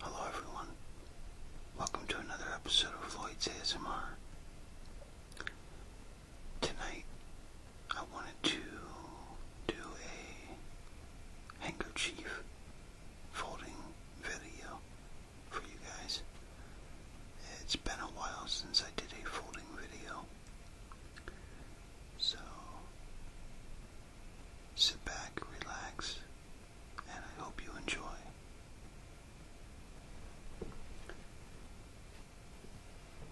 Hello, everyone. Welcome to another episode of Floyd's ASMR. Tonight, I wanted to do a handkerchief folding video for you guys. It's been a while since I did a folding video. So sit back, relax, and I hope you enjoy.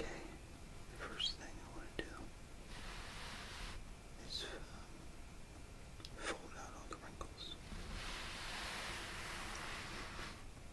Okay, first thing I want to do is um, fold out all the wrinkles.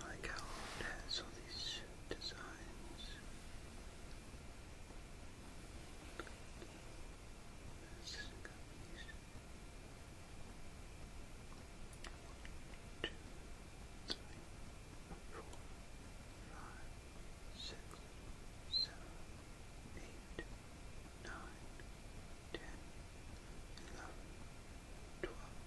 I like how it has all these designs. One, two, three, four, five, six, seven, eight, nine, ten, eleven, twelve.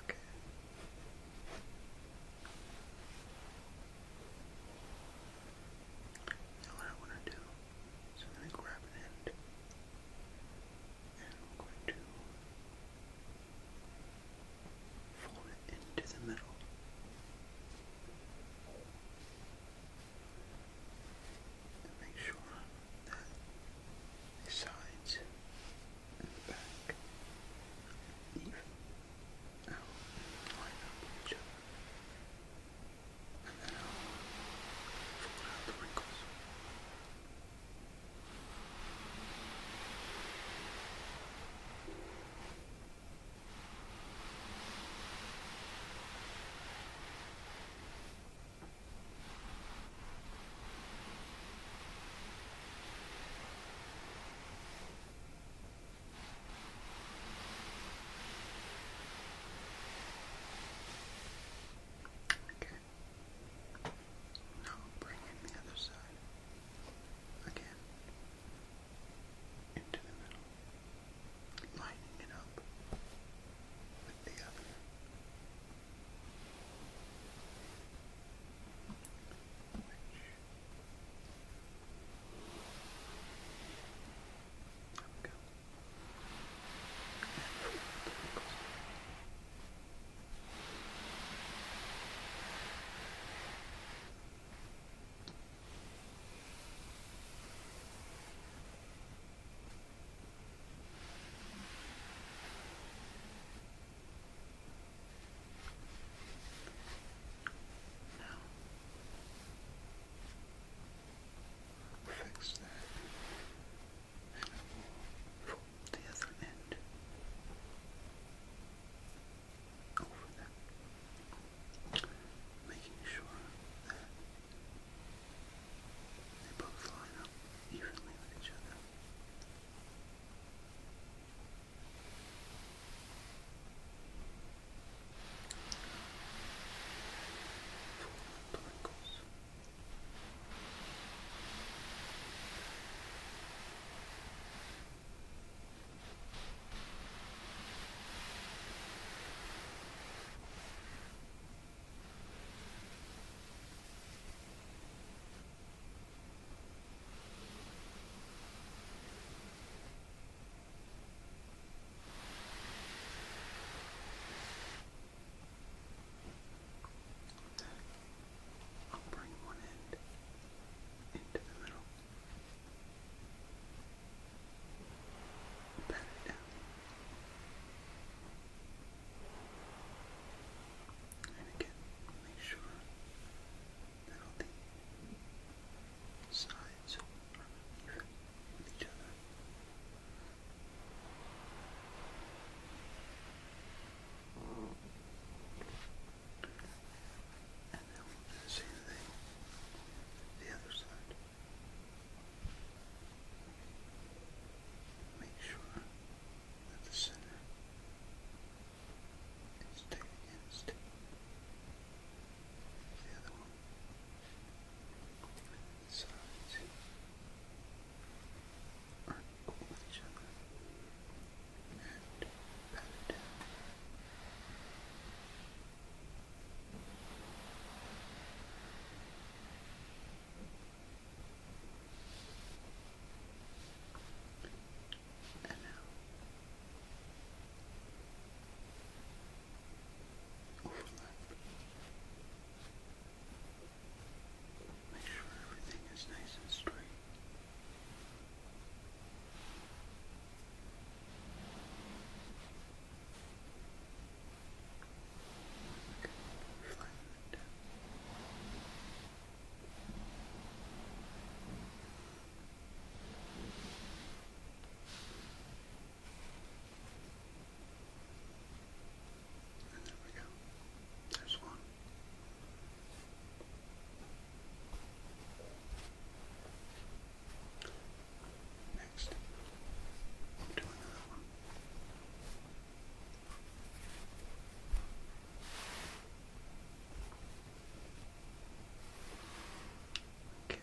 Okay. Now what I want to do is I'm going to grab an end and I'm going to fold it into the middle and make sure that the sides and the back even out and up each other. And then I'll fold the wrinkles. Okay. Now bring in the other side. Again into the middle, lining it up with the other. there we go. Now, fix that, fold the other end over that making sure that they both line up evenly with each other. Four wrinkles. I'll bring one end into the middle pat it And again, make sure that all the sides are even with each other. And then same thing the other side. Make sure that the center is against the other one. The sides are each other and pat it down. And now, overlap. Make sure everything is nice and straight. Float. And there we go. There's one. Next, we do another one. Okay, again. Okay.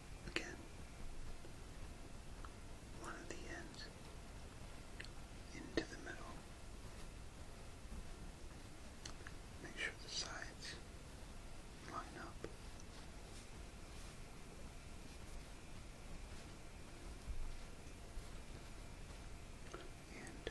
Again, one of the ends into the middle. Make sure the sides line up. And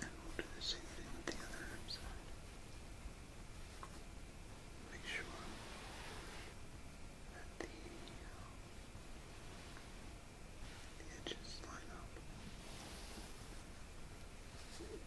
And we'll do the same thing with the other side. Make sure that the, the edges line up.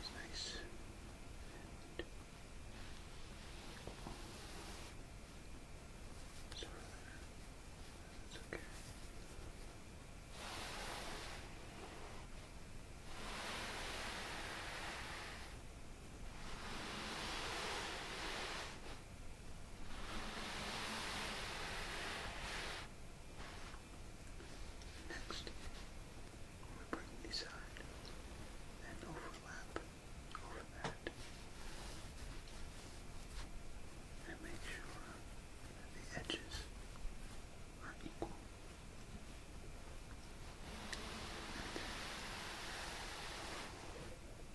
It's nice. And it's okay. It's Next, we bring the side and overlap over that. And make sure the edges are equal.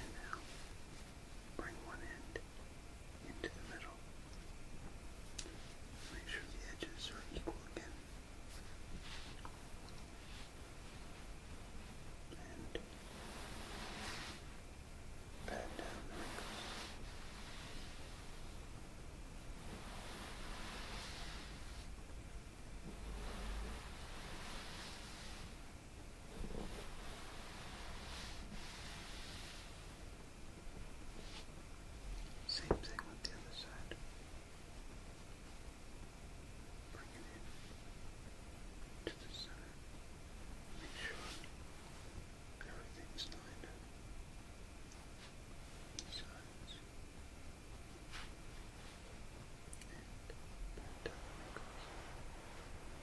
And now bring one end into the middle. Make sure the edges are equal again. And same thing with the other side. Bring it in to the center. Make sure Everything's lined up. Sides. And back down it goes. Now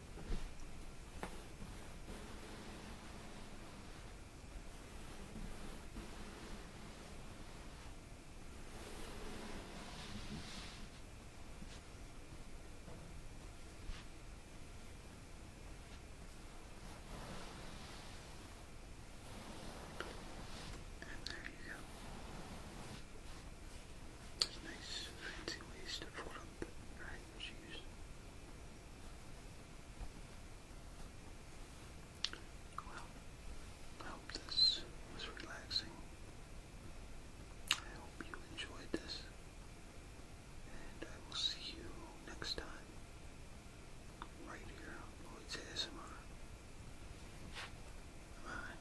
And there you go. There's nice fancy ways to fold and Well, I hope this was relaxing. I hope you enjoyed this. And I will see you next time. Right here on Lloyd's ASMR. Bye.